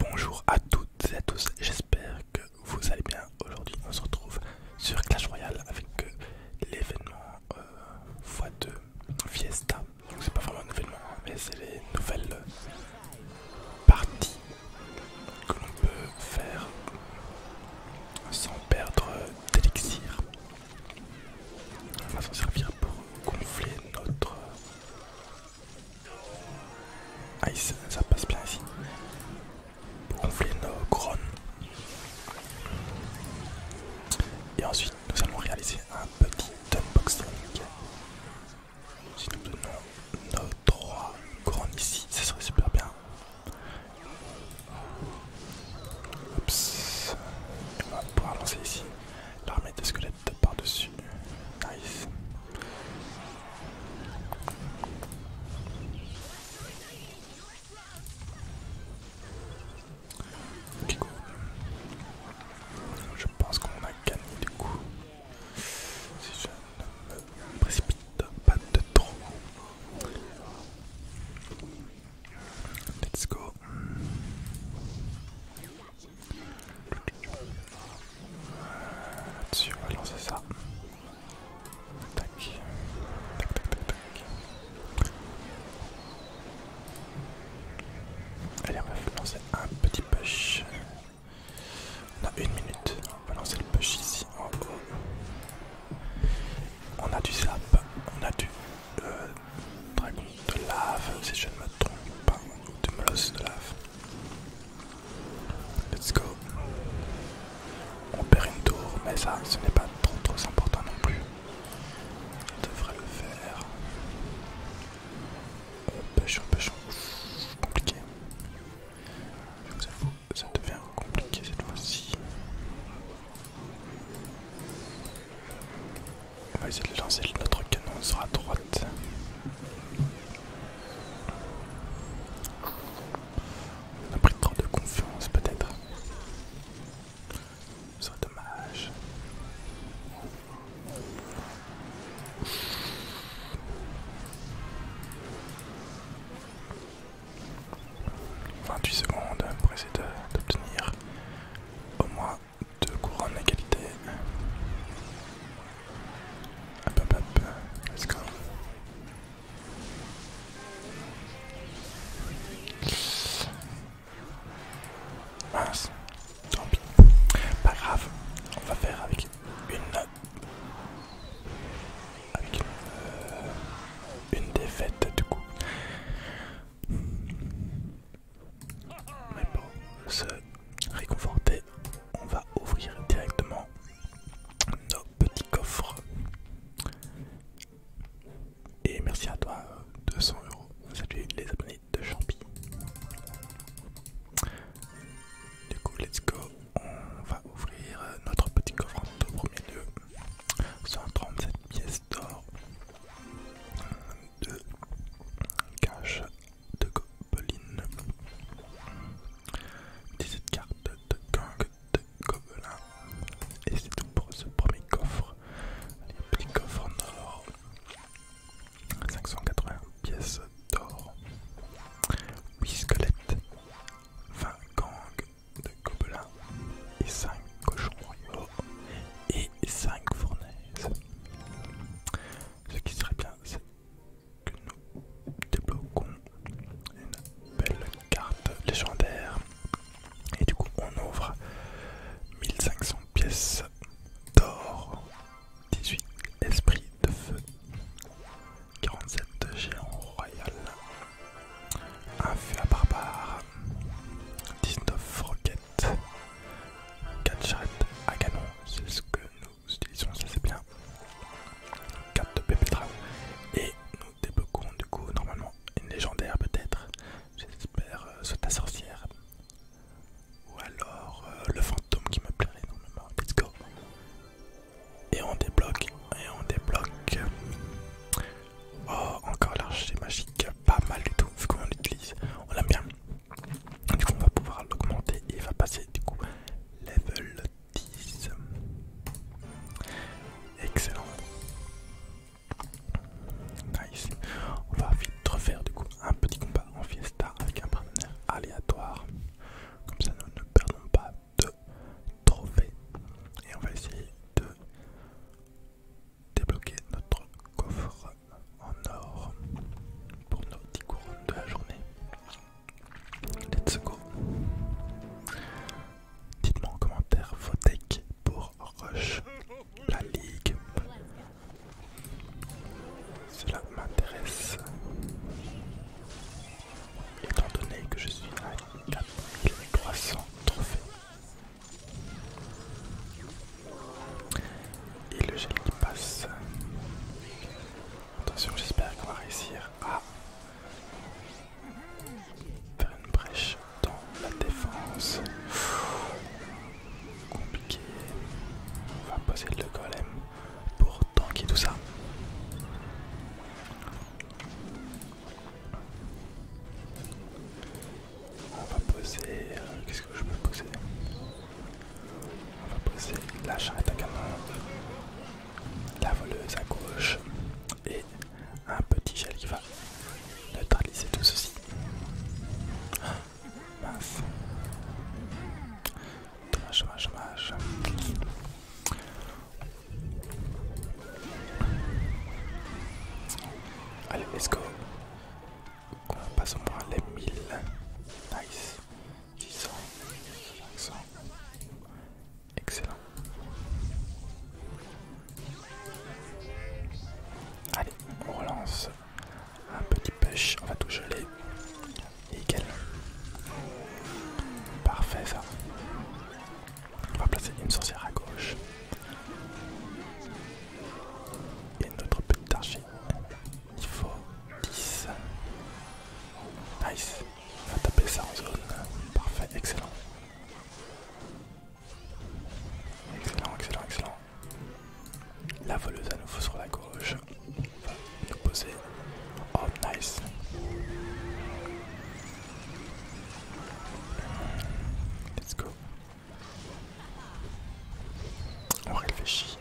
Bonjour à toutes et à tous, j'espère que vous allez bien. Aujourd'hui on se retrouve sur Clash Royale avec euh, l'événement fois euh, x2 Fiesta. Donc c'est pas vraiment un événement hein, mais c'est les nouvelles euh, parties que l'on peut faire sans perdre d'élixir. On va s'en servir pour gonfler notre Nice, ah, ça passe bien ici. Pour gonfler nos grones. Et ensuite, nous allons réaliser un petit unboxing. Si nous donnons nos trois couronnes ici, ça serait super bien. Oups. On va pouvoir lancer ici l'armée de squelettes par-dessus. Nice. Ok Je pense qu'on a gagné du coup. Si je ne précipite pas de trop. Let's go. Là-dessus, on va lancer ça. Tac. Tac, tac, tac, Allez, on va lancer un petit push. On a une minute. On va lancer le push ici en haut. On a du slap. On a du. Euh, dragon de lave, si je ne me trompe pas, ou de de lave. Let's go. On perd une tour, mais ça, ce n'est pas trop trop important non plus. On devrait le faire. On pêche, on pêche, compliqué. Je vous avoue, ça devient compliqué cette fois-ci. On va essayer de lancer notre canon, sur la droite. On a pris trop de confiance peut-être. Ce serait dommage. 28 secondes pour essayer d'obtenir au moins deux courants d'égalité. Hop hop hop, let's go. Mince, tant pis. Pas grave, on va faire avec une. Avec euh, une, une défaite du coup. Mais pour se réconforter, on va ouvrir directement nos petits coffres. Et merci à toi, 200 euros. Salut les abonnés de Champi. Du coup, let's go. On va ouvrir notre petit coffre en tout premier lieu. 137 pièces d'or, 2 cache de gobeline, 17 cartes de gang de gobelins, et c'est tout pour ce premier coffre. les petits coffres en or, 580 pièces d'or, 8 squelettes, 20 gangs gobelins et 5 cochons royaux et 5 fournaises. Ce qui serait bien, c'est que nous débloquons une belle carte légendaire. Et du coup, on ouvre 1500 pièces d'or, 18 esprits de feu, 47 géants royal, un feu à barbare, 19 roquettes, 4 charrettes à canon, c'est ce que nous utilisons, ça c'est bien. 4 de et nous débloquons du coup normalement une légendaire peut-être, j'espère euh, soit la sorcière. Ou alors euh, le fantôme qui me plairait énormément, let's go. Et on débloque, et on débloque Oh, encore l'archer magique, pas mal du tout, vu qu'on l'utilise, on l'aime bien. Du coup, on va pouvoir l'augmenter et il va passer du coup level 10. Excellent. Nice. On va vite refaire du coup un petit combat en fiesta avec un partenaire aléatoire. Comme ça, nous ne perdons pas de trophées. Et on va essayer de débloquer notre coffre en or pour nos 10 couronnes de la journée. Let's go! Dites-moi en commentaire vos decks pour Rush la Ligue. Cela m'intéresse étant donné que je suis à 4300 trophées. Et le gel qui passe. Attention, j'espère qu'on va réussir à faire une brèche dans la défense. Compliqué. On va poser le golem pour tanker tout ça. On va poser... Euh, qu'est-ce que je peux poser On va poser la charrette à canon, la voleuse à gauche et un petit gel qui va neutraliser tout ceci. Ah, mince. Dommage, Allez, let's go. Passons moins les 1000. Nice. 1000, 500. Excellent. Allez, on relance un petit pêche. On va tout geler. Nickel. Parfait ça. On va placer une sorcière à gauche. Et notre petit Il Niveau 10. Nice. On va taper ça en zone. Parfait, excellent. Excellent, excellent, excellent. La voleuse à nouveau sur la gauche. Reposer. poser. Oh nice. Let's go. On réfléchit.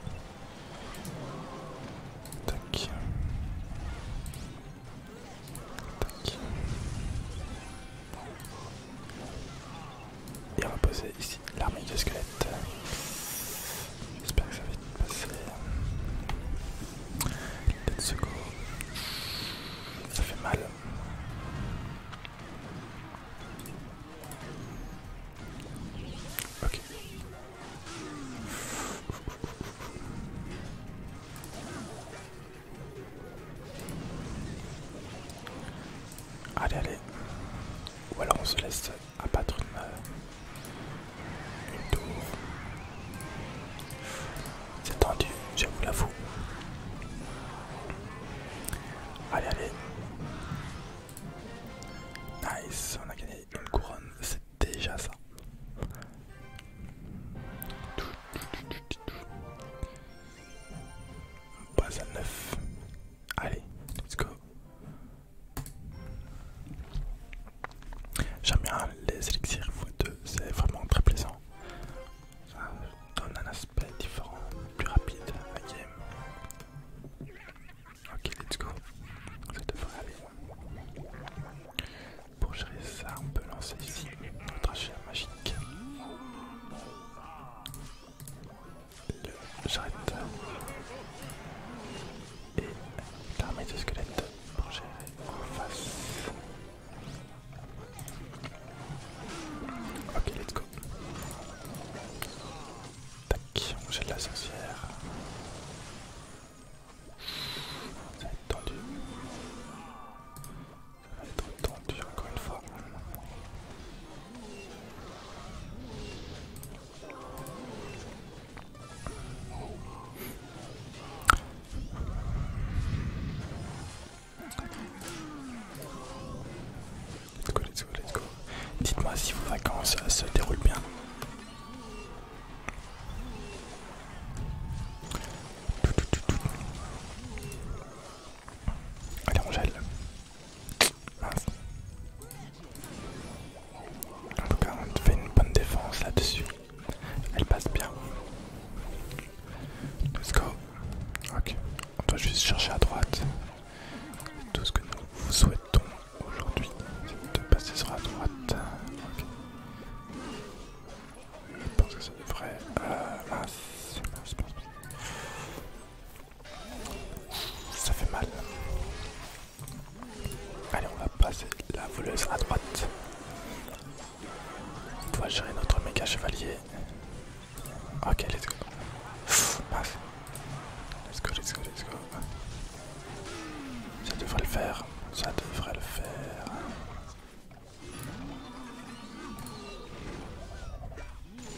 Tac. Tac. Et on va poser ici l'armée de squelettes. J'espère que ça va vite passer. de secours Ça fait mal. Ok. Allez, allez. Ou alors on se laisse à une, euh, une tour. C'est tendu, j'avoue la l'avoue. Allez, allez. Nice, on a gagné une couronne, c'est déjà ça. On passe à neuf Allez, let's go. J'aime bien les élixirs x deux, c'est vraiment très plaisant. Ça donne un aspect différent, plus rapide à game. Ok, let's go. Ça devrait aller. Pour gérer ça, on peut lancer ici notre achat magique. J'arrête et l'armée de squelettes pour gérer en face. Ok, let's go. Tac, j'ai de la sorcière. Ça va être tendu. Ça va être tendu encore une fois. Dites-moi si vos vacances euh, se déroulent bien. Allez, on gèle. En tout cas, on fait une bonne défense là-dessus. Elle passe bien. Let's go. Ok. On je juste chercher à droite. Tout ce que nous vous souhaitons aujourd'hui, c'est de passer sur la droite. Je pense que euh, ah, c'est devrait... Ça fait mal. Allez, on va passer la voleuse à droite. On doit gérer notre méga chevalier. Ok, let's go. Let's go, let's go, let's go. Ça devrait le faire. Ça devrait le faire.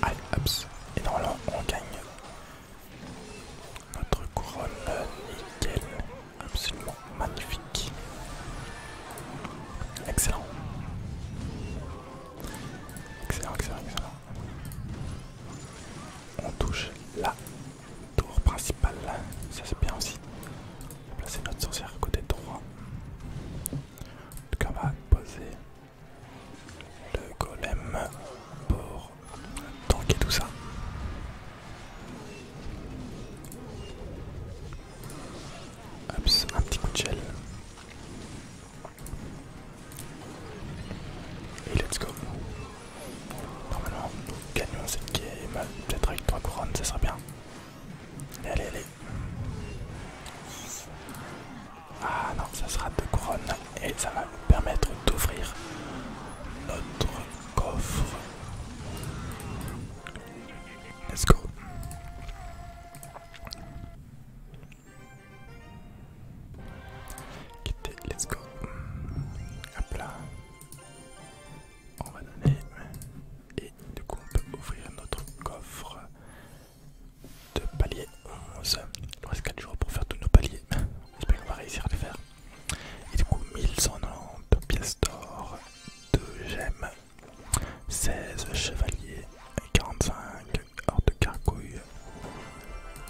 Allez, ups, Et normalement, on gagne notre couronne nickel. Absolument magnifique. Excellent. Excellent, excellent, excellent. On touche la tour principale. Ça c'est bien aussi. On placer notre sorcière côté droit. En tout cas, on va poser le golem pour tanker tout ça. Ups, un petit coup de gel. Et let's go. Normalement, nous gagnons cette game. Peut-être avec trois couronnes, ça serait bien. Allez, allez, allez. Ah non, ça sera deux couronnes et ça va nous permettre d'ouvrir notre coffre. Let's go. Quitter, let's go. Hop là. On va donner. Et du coup, on peut ouvrir notre coffre de palier 11 euh, Il nous reste 4 jours pour faire tous nos paliers. J'espère qu'on va réussir à le faire. Et du coup, 1190 pièces d'or, 2 gemmes, 16 chevaliers, 45 hors de carcouille,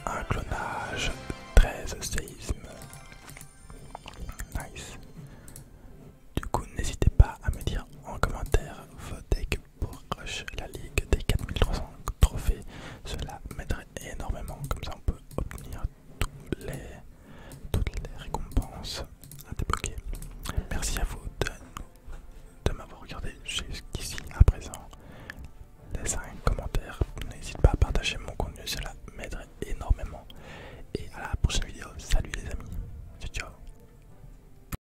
un clonage, 13 séismes. Nice. Du coup, n'hésitez pas à me dire en commentaire vos deck pour rush la ligue des 4300 trophées. Cela m'aiderait énormément, comme ça on peut obtenir toutes les, toutes les récompenses à débloquer. Merci à vous de, de m'avoir regardé jusqu'ici à présent. Laissez un commentaire, n'hésite pas à partager mon contenu, cela m'aiderait énormément. Et à la prochaine vidéo, salut les amis, ciao ciao